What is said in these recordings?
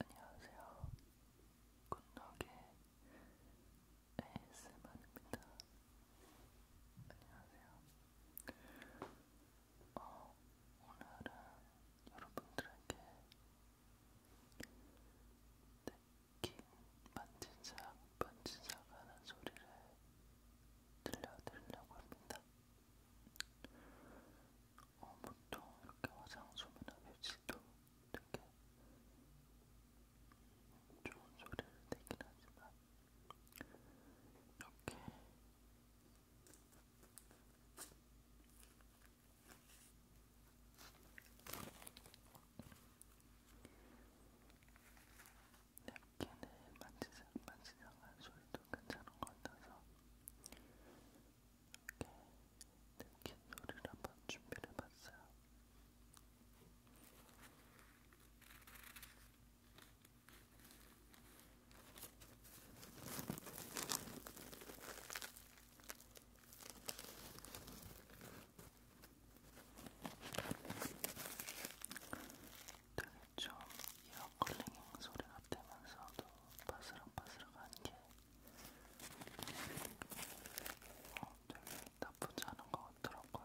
안녕하세요. 굿노게 ASMR입니다. 안녕하세요. 어, 오늘은 여러분들에게 느낀 네, 반지작 반지작 하는 소리를 들려드리려고 합니다. 어, 보통 이렇게 화장솜이나 휴지도 되게 좋은 소리를 내긴 하지만 이렇게 내 네, 걔는 만지작 만지작한 소리도 괜찮은 것 같아서 이렇게 느낀 노래를 한번 준비를 해봤어요. 되게 좀 이어 컬링 소리가 되면서도 바스락바스락한 게 어, 되게 나쁘지 않은 것 같더라고요.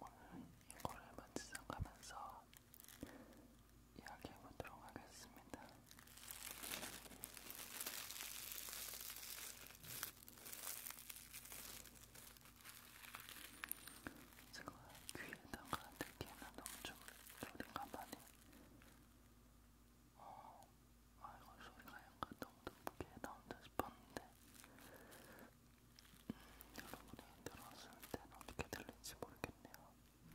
오늘 이거를 만지작하면서 이야기해보도록 하겠습니다. 제가 귀에다가 듣기에는 너무 좀 소리가 많이 어, 아 이거 소리가 약간 너무 높게 나온다 싶었는데 음, 여러분이 들었을 땐 어떻게 들릴지 모르겠네요. 음,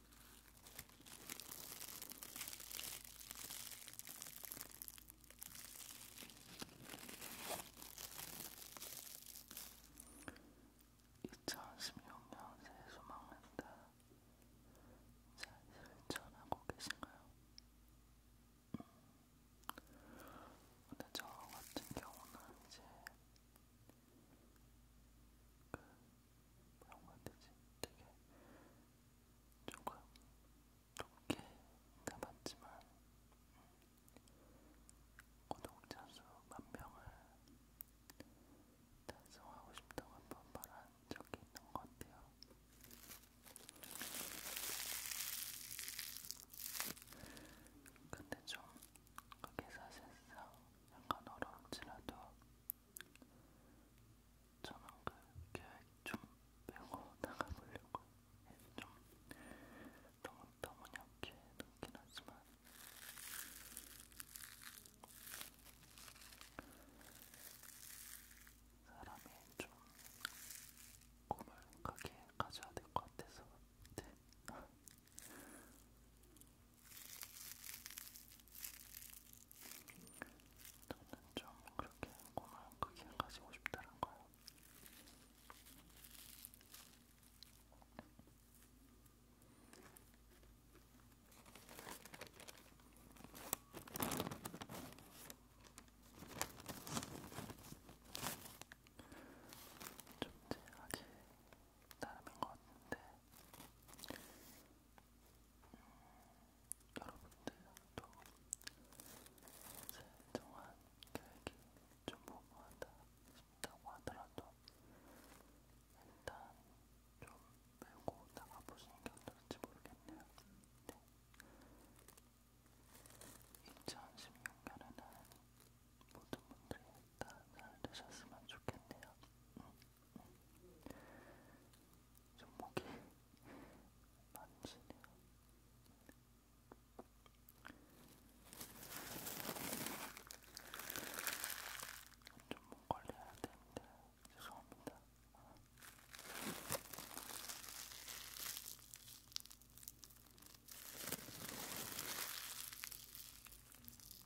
2016년 새해 소망은 다잘 실천하고 계신가요? 근데 저 같은 경우는 이제 그 뭐라고 해야 되지? 되게 조금 높게 남았지만 음, 구독자 수 만명을 달성하고 싶다고 한번 말한 적이 있는 것 같아요. 근데 좀 그게 사실상 약간 어려울지라도 저는 그 계획 좀 빼고 나가보려고 좀 너무 너무 약해 늦긴 하지만 사람이 좀 꿈을 크게 가져야 될 것 같아서 네. 저는 좀 그렇게 꿈을 크게 가지고 싶다는 거예요. 존재하지 나름인 것 같은데 음, 여러분들도 진정한 계획이 좀 모호하다 싶다고 하더라도 일단 좀 메고 나가보시는 게 어떨지 모르겠네요. 네. 2016년에는 모든 분들이 다 잘 되셨으면 좋겠네요. 응, 음, 응. 음. 손목이 만지네요. 좀목 걸려야 되는데 죄송합니다.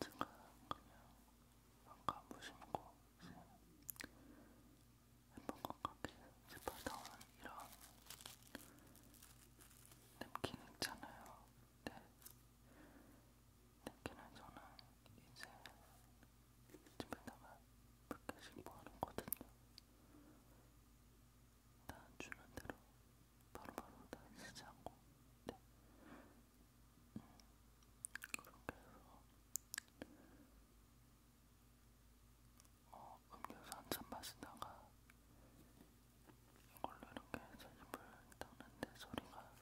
제가 그냥 아까 무심코 예쁜 것 같게 집어다온 이런 냅킨 있잖아요. 네. 냅킨은 저는 이제 집에다가 몇 개씩 모아놓거든요. 다 주는 대로 바로바로 다 쓰지 않고 네. 음, 그렇게 해서 어, 음료수 한잔 마시다가 이걸로 이렇게 해서 입을 닦는데 소리가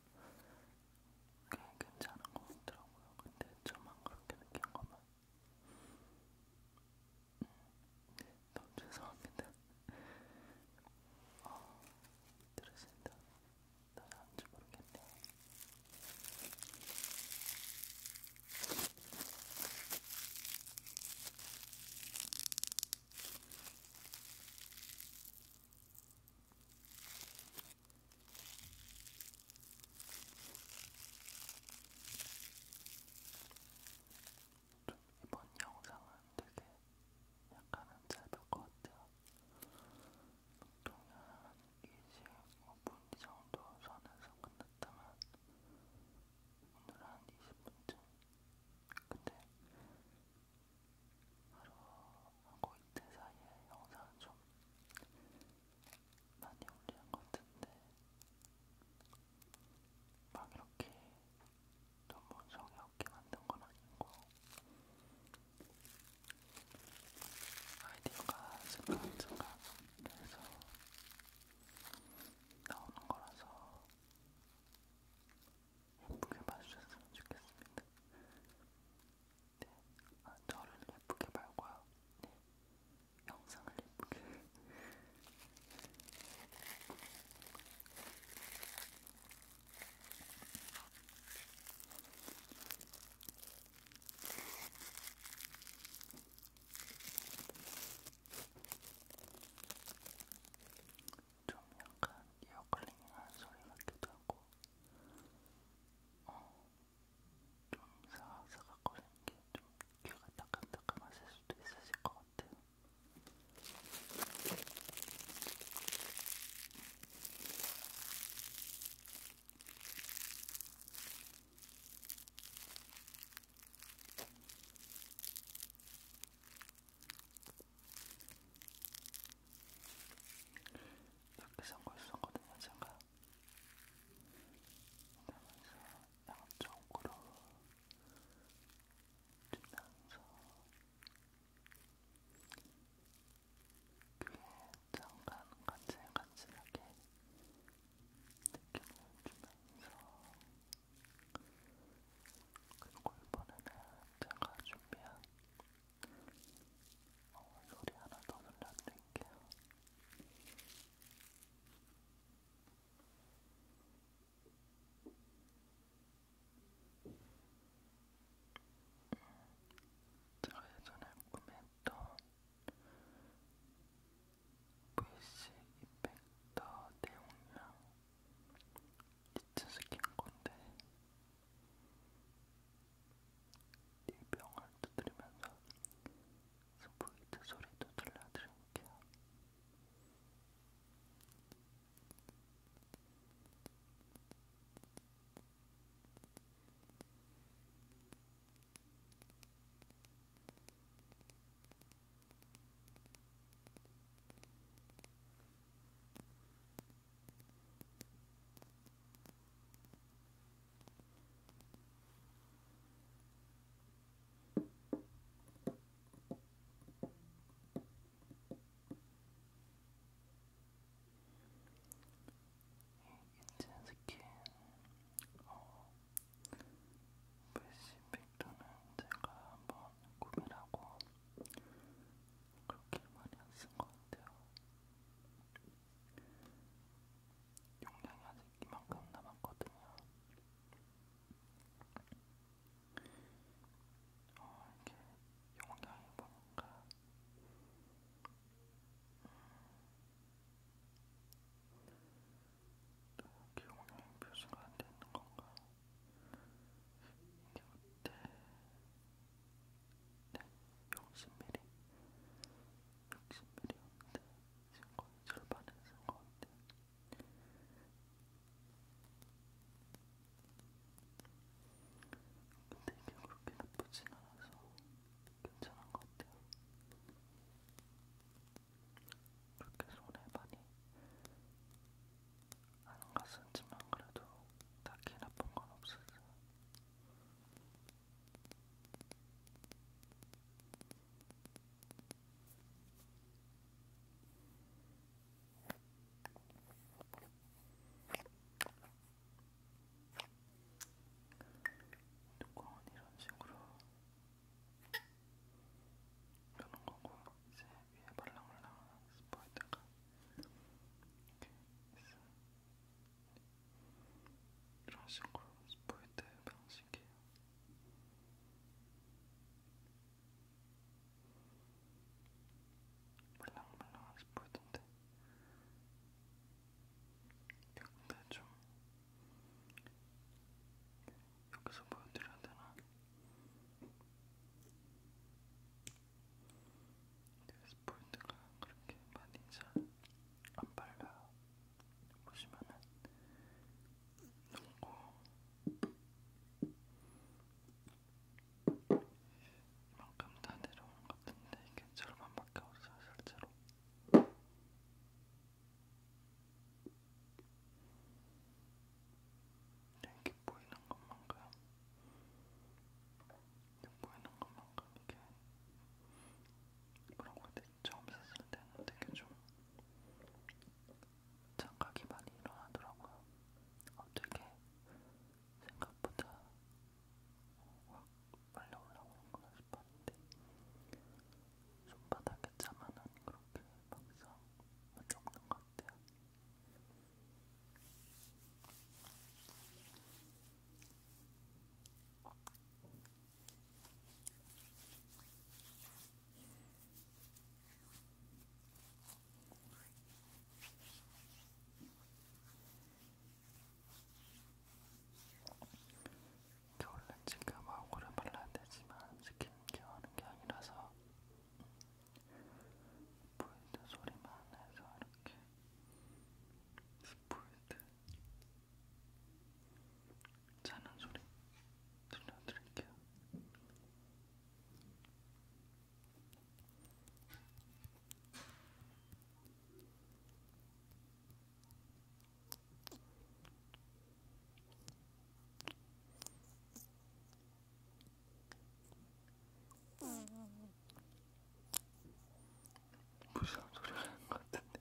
꽤 괜찮은 것 같더라고요. 근데 저만 그렇게 느낀 거면 너무 죄송합니다. 어, 들으신다. 나안줄 모르겠네요. 이번 영상은 되게 약간은 짧을 것 같아요. 보통 한 25분 정도 선에서 끝났다면 오늘 한 20분쯤 근데 하루하고 이틀 사이에 영상은 좀 많이 올리는 것 같은데 막 이렇게 너무 정이 없게 만든 건 아니고 아이디어가 생각생각 해서 나오는 거라서 예쁘게 봐주셨으면 좋겠습니다. 네, 아, 저를 예쁘게 말고요. 네, 영상을 예쁘게 좀 약간 이어클링한 소리 같기도 하고 어, 좀 사각사각거리는 게좀 귀가 따끔따끔하실 수도 있으실 것 같아요. 이렇게 선거 있었거든요, 제가. 그러면서 양쪽으로 주면서 귀에 잠깐 간질간질하게 느낌을 주면서 그리고 이번에는 제가 준비한 어, 소리 하나 더 들려드릴게요. 제가 예전에 구매했던 VC 이펙터 대용량 니트 스킨 건데 이 병을 두드리면서 스포이트 소리도 들려드릴게요. 음. 인첸 스킨 어, 브시 백도는 제가 한번 구매하고 그렇게 많이 안쓴것 같아요. 용량이 아직 아직 이만큼 남았거든요. 어, 이렇게 영상이 보니까 음, 또 기억력이 표시가 안 되는 건가? 이게 그때 네, 60mm, 60mm였는데 쓴거 절반은 쓴거 같아. 근데 이게 그렇게 나쁘진 않아서 괜찮은 것 같아요. 그렇게 손에 많이 안 갔었지만 그래도 딱히 나쁜 건 없었어요. 뚜껑은 이런 식으로 여는 거고 이제 위에 말랑말랑 스포에다가 이렇게 있어요. 이런 식으로 스포이드 방식이에요. 물랑물랑한 스포이던데 근데 좀 여기서 보여드려야 되나? 스포인트가 그렇게 많이 잘안 발라요. 보시면은 녹고 이만큼 다 내려온 것 같은데 이게 절반밖에 없어요 실제로. 네, 이게 보이는 것만큼 이게 보이는 것만큼 이게 그런 거 처음 샀을 때는 되게 좀 착각이 많이 일어나더라고요. 어떻게 생각보다 확 빨리 올라오는 거나 싶었는데 손바닥에 차만은 그렇게 막상 문제 없는 것 같아요. 겨울은 지금 얼굴을 발라야 되지만 스킨케어 하는 게 아니라서 보이드 소리만 해서 이렇게 보일때 자는 소리 들려드릴게요. 무슨 소리 하는 것 같은데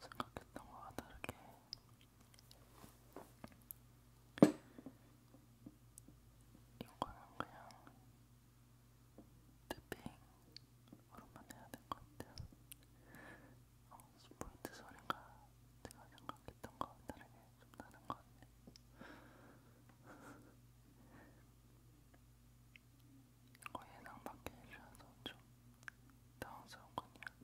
생각했던 거와 다르게 이거는 그냥 탭핑으로만 해야 될 것 같아요. 어, 스포이트 소리가 제가 생각했던 거와 다르게 좀 나는 것 같네요. 거의 예상 밖에 일어나서 좀 당황스럽군요.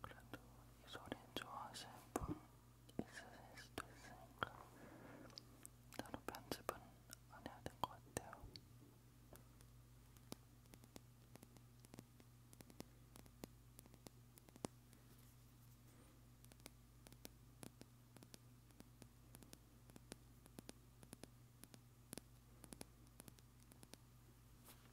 그래도 이 소리 좋아하시는 분 있으실 수도 있으니까 따로 편집은 안 해야 될 것 같아요.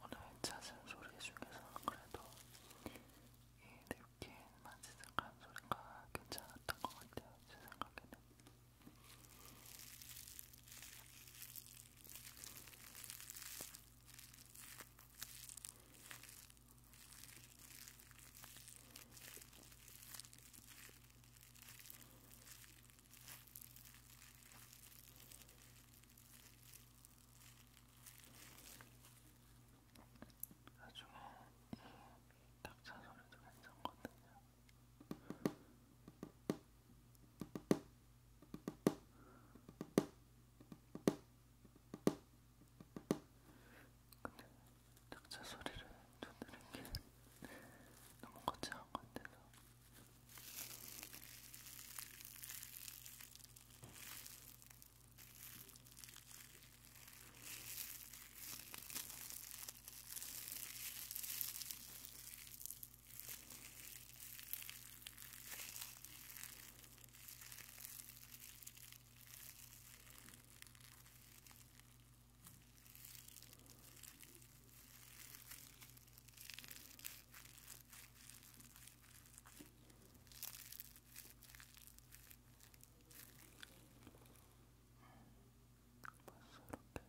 오늘 찾은 소리 중에서 그래도 이 느낌 만지작한 소리가 괜찮았던 것 같아요. 제 생각에는. 나중에 이 닭차 소리도 괜찮거든요. 근데 낙차 소리를 전드는게 너무 거창한 것 같아서 벌써 뭐 이렇게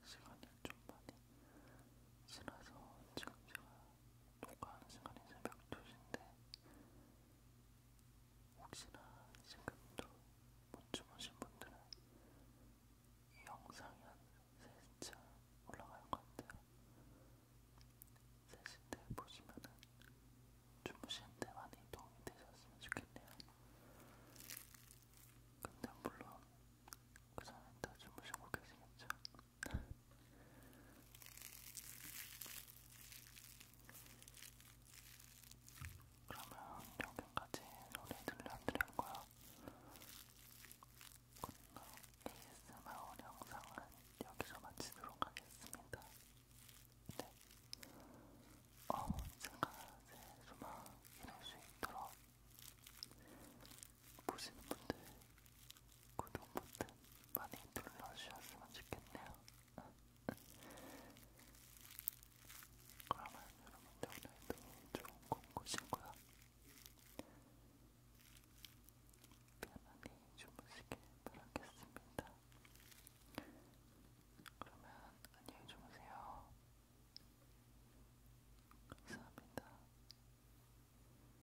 시간이 좀 많이 지나서 지금 제가 녹화하는 시간이 새벽 2시인데 혹시나 지금도 못 주무신 분들은 이 영상이 한 3시쯤 올라갈 것 같아요. 3시인데 보시면은 주무시는데 많이 도움이 되셨으면 좋겠네요. 근데 물론 그 전에 다 주무시고 계시겠죠? 그러면 여기까지 노래 들려드린 거야. 오늘 ASMR 영상은 여기서 마치도록 하겠습니다. 네. 어, 제가 제 소망 이룰 수 있도록 보시는 분들 구독 버튼 많이 눌러주셨으면 좋겠네요. 그러면 여러분들 오늘도 좋은 꿈 꾸시고요. 편안히 주무시길 바라겠습니다. 그러면 안녕히 주무세요. 감사합니다.